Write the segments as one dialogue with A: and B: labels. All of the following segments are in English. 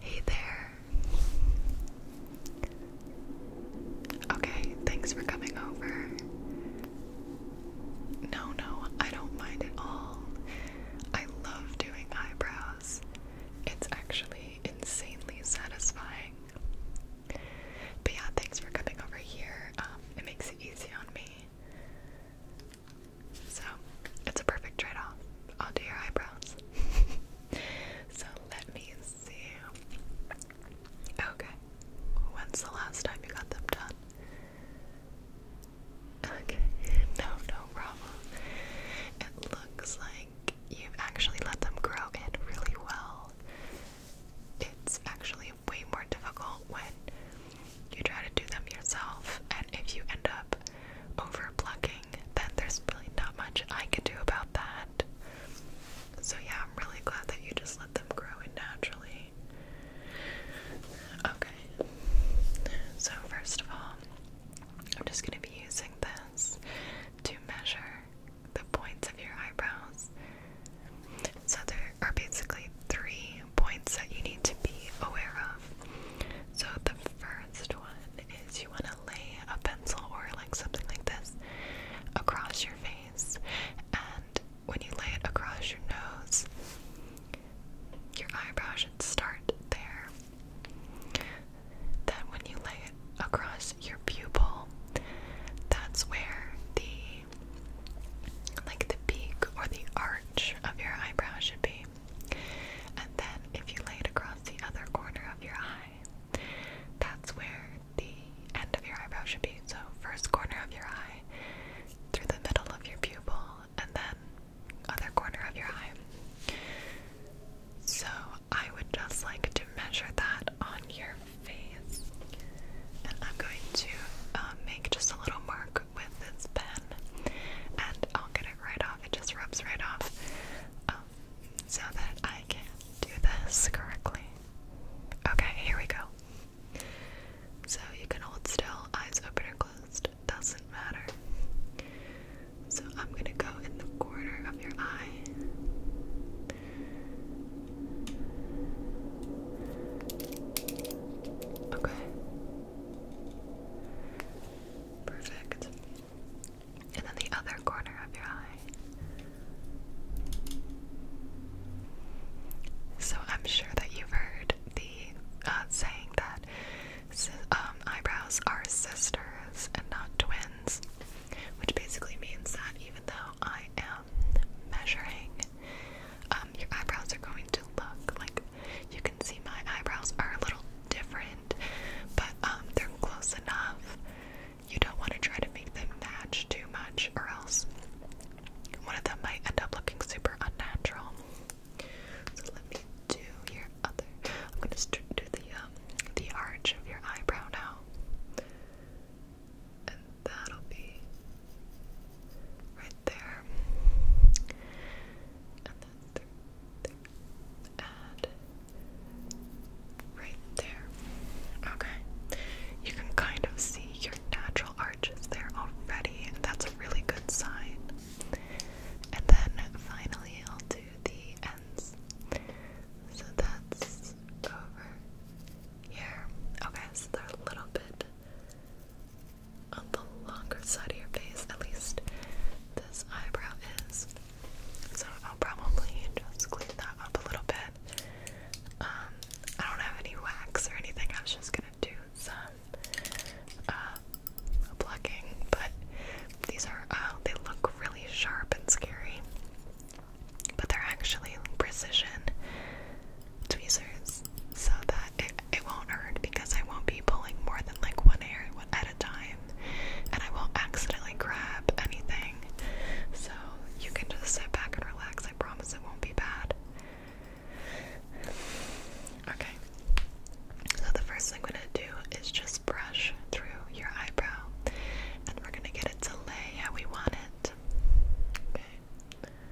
A: Hey there. Okay, thanks for coming over. No, no, I don't mind at all. I love doing eyebrows. It's actually insanely satisfying. But yeah, thanks for coming over here. Um, it makes it easy on me. So it's a perfect trade off. i your eyebrows. so let me see. Okay. When's the last time you got them done? Okay, no, no problem. It looks like you've actually let them grow in really well. It's actually way more difficult when you try to do them yourself, and if you end up over plucking, then there's really not much I can do about that. So, yeah, I'm really glad that you just let them grow in naturally. Okay, so first of all, I'm just going to be using this to measure the points of your eyebrows. So there are basically three points that you need to be aware of. So, the first one is you want to lay a pencil or like something like this across your face, and when you lay it across your nose, your eyebrow should start there. Then, when you lay it across your pupil, that's where the like the peak or the arc of your eyebrow should be. And then if you lay it across the other corner of your eye, that's where the end of your eyebrow should be. So first corner of your eye through the middle of your pupil and then other corner of your eye. So I would just like to measure that on your face. And I'm going to uh, make just a little mark with this pen, and I'll get it right off. It just rubs right off, um, so that I can do this correctly. Okay, here we go. So you can hold still, eyes open or closed, doesn't matter. So I'm gonna go in the corner of your eye. Okay. Perfect. And then the other corner of your eye. So I'm sure that you've heard the uh, saying that um, eyebrows are sisters and not twins, which basically means that even though I am measuring um, your eyebrows are going to look. Like you can see my eyebrows are a little different, but um, they're close enough. You don't want to try to make them match too much, or else one of them might end up looking super unnatural. So let me do your other. I'm gonna do the um, the arch of your eyebrow now, That'll be right there. And then through there. right there. Okay. You can kind of see your natural arches there already. That's a really good sign. And then finally, I'll do the ends. So that's over here. Okay, so they're a little bit on the longer side of your face, at least this eyebrow is. So I'll probably just clean that up a little bit. Um, I don't have any wax or anything, I was just gonna do some uh, plucking, but these are, uh, they look really sharp and scary, but they're actually precision tweezers so that it, it won't hurt because I won't be pulling more than like one area at a time and I won't accidentally grab anything. So you can just sit back and relax. I promise it won't be bad. Okay. So the first thing I'm gonna do is just brush through your eyebrow and we're gonna get it to lay how we want it. Okay.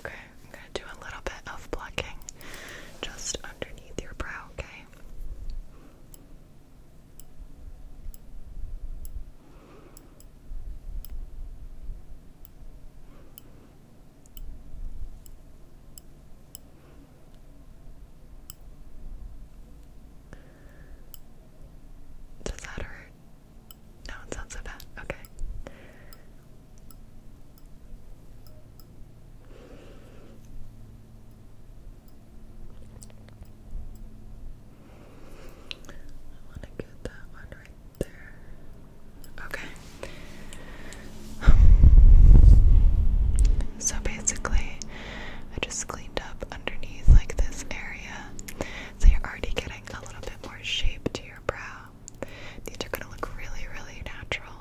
A: Okay, I'm going to do a little bit of plucking just underneath your brow, Okay, does that hurt? No, it's not so bad. Okay. I want to get that one right Okay. So basically, I just cleaned up underneath like this area. So you're already getting a little bit more shape to your brow. These are gonna look really, really natural.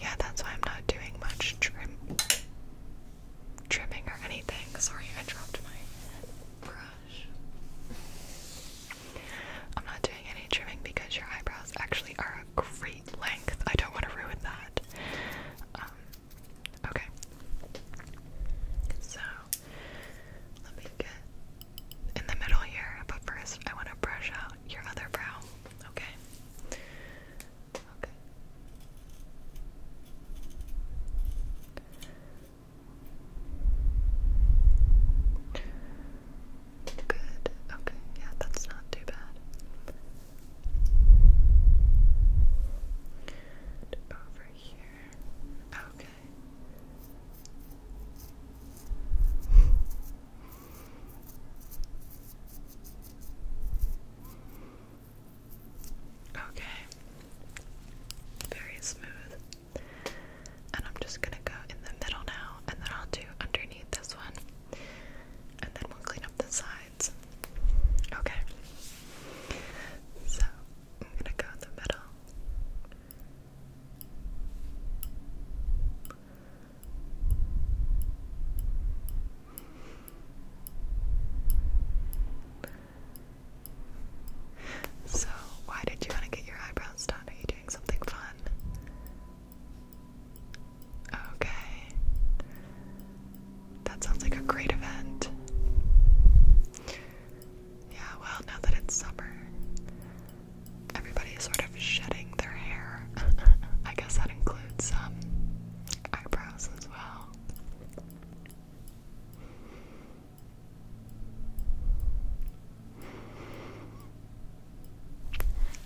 A: Yeah, that's why I'm not doing much trimming or anything. Sorry, I dropped my brush. I'm not doing any trimming because your eyebrows actually are a great length. I don't want to ruin that. Um, okay. So, let me get in the middle here, but first I want to brush out your other brow, Okay. Okay. Good. Okay, yeah, that's not too bad. over here. Okay. Okay. Very smooth. And I'm just gonna go in the middle now, and then I'll do underneath this one, and then we'll clean up the sides. Okay. So I'm gonna go in the middle. So, why did you want to get your eyebrows done? Are you doing something fun? Okay. That sounds like a great event. Yeah, well, now that it's summer, everybody's sort of shedding their hair. I guess that includes um, eyebrows as well.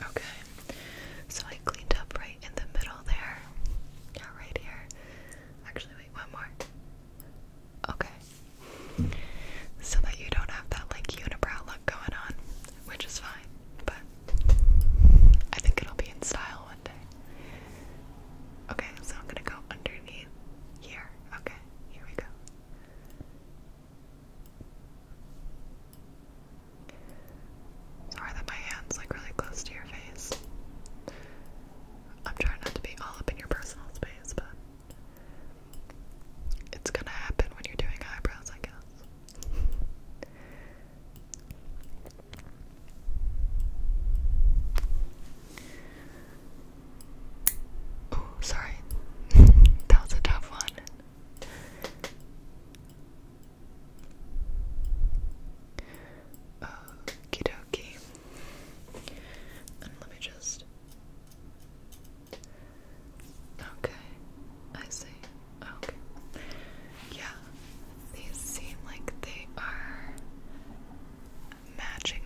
A: Okay, so I cleaned up right in the middle there. right here. Actually, wait, one more. Okay. So that you don't have that like unibrow look going on, which is fine, but I think it'll be in style one day. Okay, so I'm gonna go underneath here. Okay here we go. Sorry that my hand's like really close to your face. I'm trying not to be all up in your personal space, but it's gonna happen when you're doing eyebrows, I guess. Oh, sorry. that was a tough one. Okie dokie. let me just. Okay, I see. Oh, okay. Yeah, these seem like they are matching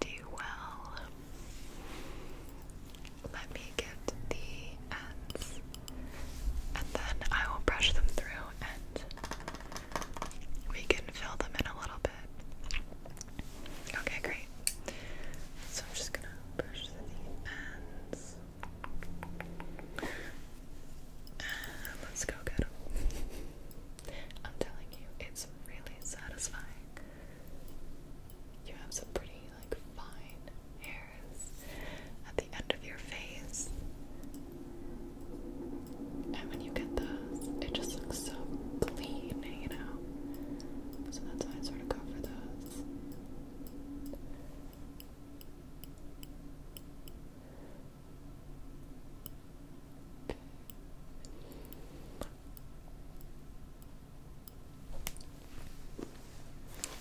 A: pretty well. Let me get the ends and then I will brush them through and we can fill them in a little bit. Okay, great. So I'm just gonna brush the ends. And let's go get them. I'm telling you, it's really satisfying. You have some pretty, like, fine hairs at the end of your face. And when you get those, it just looks so clean, you know? So that's why I sort of go for those.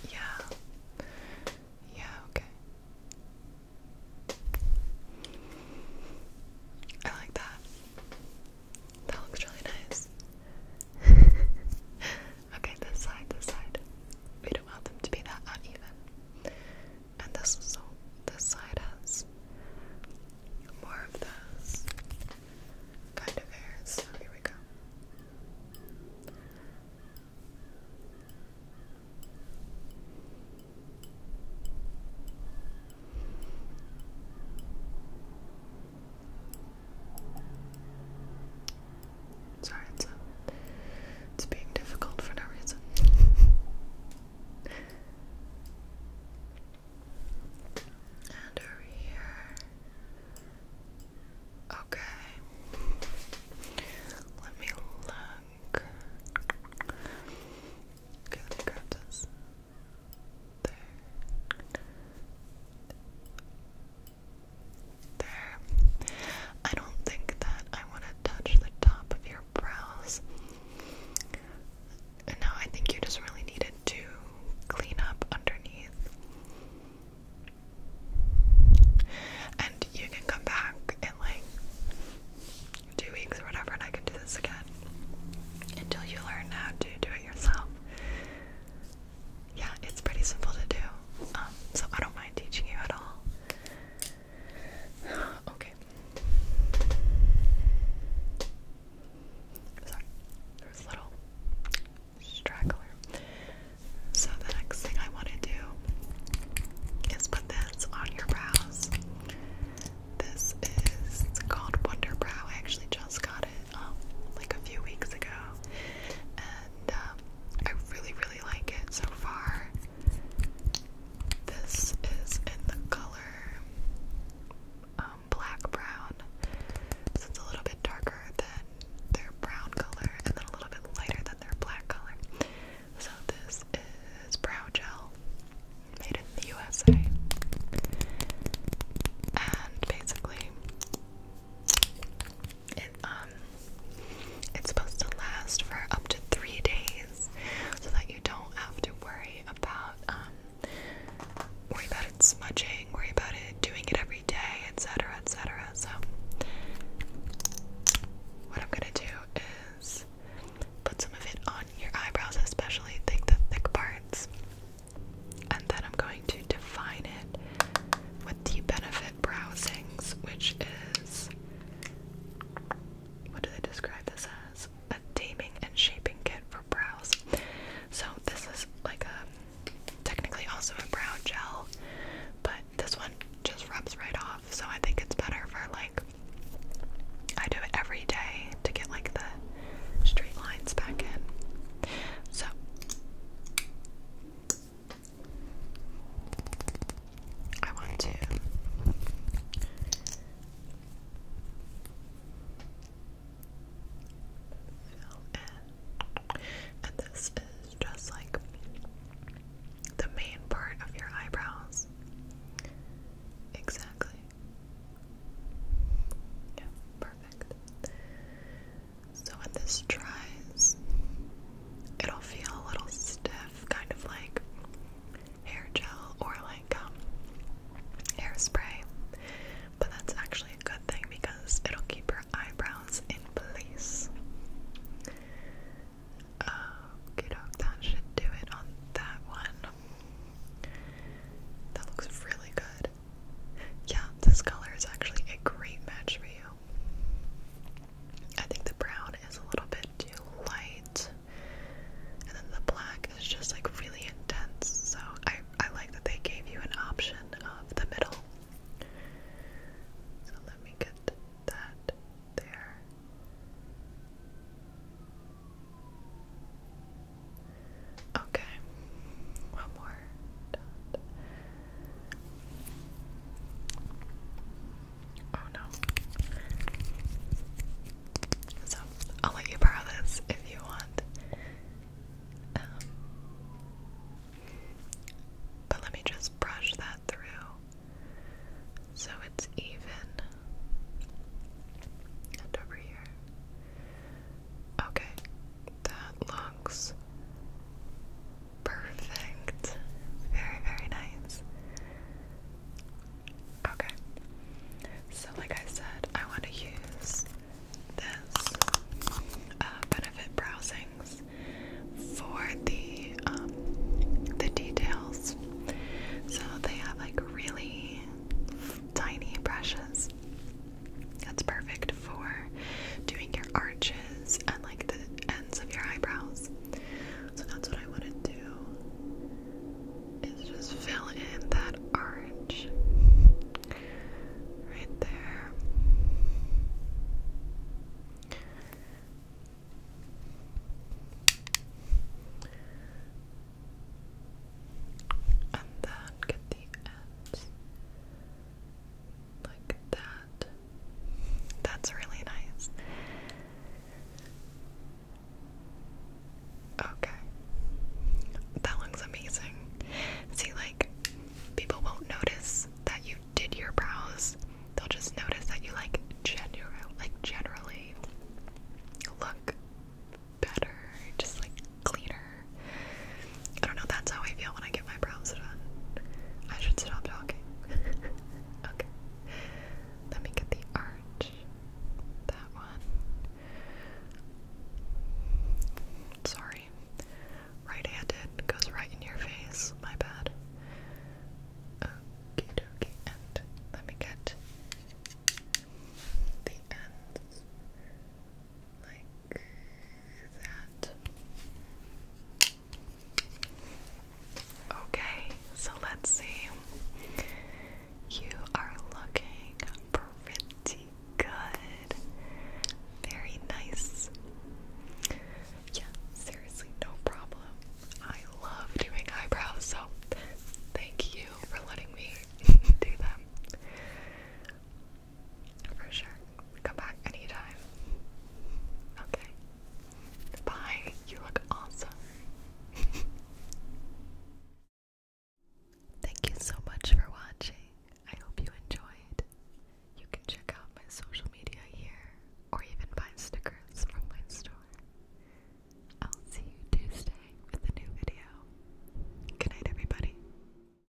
A: Yeah. Yeah, okay. I like that. That looks really nice. okay, this side, this side. We don't want them to be that uneven and this is all this side has more of this kind of hair, here we go. Sorry, it's, uh, it's being difficult for no reason. And over here. Okay. Let me look. Okay, let me grab this. There. There. I don't think that I want to touch the top of your brows. And now I think you just really needed to clean up underneath. And you can come back in like two weeks or whatever, and I can do this again until you learn how to do it yourself. Yeah, it's pretty simple to do, um, so I don't mind teaching you at all. Okay. Sorry, there's a little straggler. So the next thing I want to do is put this on your brows. This is called Wonder Brow. I actually just got it um, like a few weeks ago, and um, I really, really like it so far. This is in the color um, black brown, so it's a little bit darker than their brown color, and then a little bit lighter than their black color. So this is brow gel made in the USA, and basically. It um, it's supposed to last for up to three days, so that you don't have to worry about um, worry about it smudging, worry about it doing it every day, etc., etc. So, what I'm gonna do is put some of it on your eyebrows, especially the thick parts, and then I'm going to define it with the Benefit Browsings, which is what do they describe this as? A taming and shaping kit for brows. So this is like a technically also a brow gel, but this one just rubs right off. So I think it's better for like I do it every day to get like the straight lines back in. So I want to fill in. And this is just like the main part of your eyebrows. Exactly. Yeah, perfect. So when this dries, it'll feel a little stiff, kind of like hair gel or like um, hairspray. But that's actually a good thing because it'll keep your eyebrows in place. Okay, doke, that should do it on that one. That looks really good. Yeah, this color is actually a great match for you. I think the brown is a little bit too light, and then the black is just like really intense. So I I like that they gave you an option of the middle. So let me get that there. Okay, one more Oh no. So I'll let you borrow this if you want. Um, but let me just brush that through so it's even. And over here. Okay, that looks Perfect. Very, very nice. Okay. So, like I said, I want to use this uh, benefit browsings for the um, the details. So they have like really tiny brushes. That's perfect for doing your arches and like the ends of your eyebrows. So that's what I want to do is just fill in that orange right there. And then get the ends like that. That's really nice. Okay. That looks amazing. See, like, people won't notice that you did your brows. They'll just notice that you, like, general, like, generally look better, just like cleaner, I don't know, that's how I feel when I get my brows done. I should stop talking. okay. Let me get the arch. That one. Sorry. Right handed goes right in your face. My bad. Okie dokie. And let me get the ends like that. Okay, so let's see. You are looking pretty good. Very nice. Yeah, seriously, no problem. I love doing eyebrows, so thank you for letting me do them. For sure. Come back anytime. Okay. Bye. You look awesome. Thank you so much for watching. I hope you enjoyed. You can check out my social media here or even buy stickers from my store. I'll see you Tuesday with a new video. Good everybody.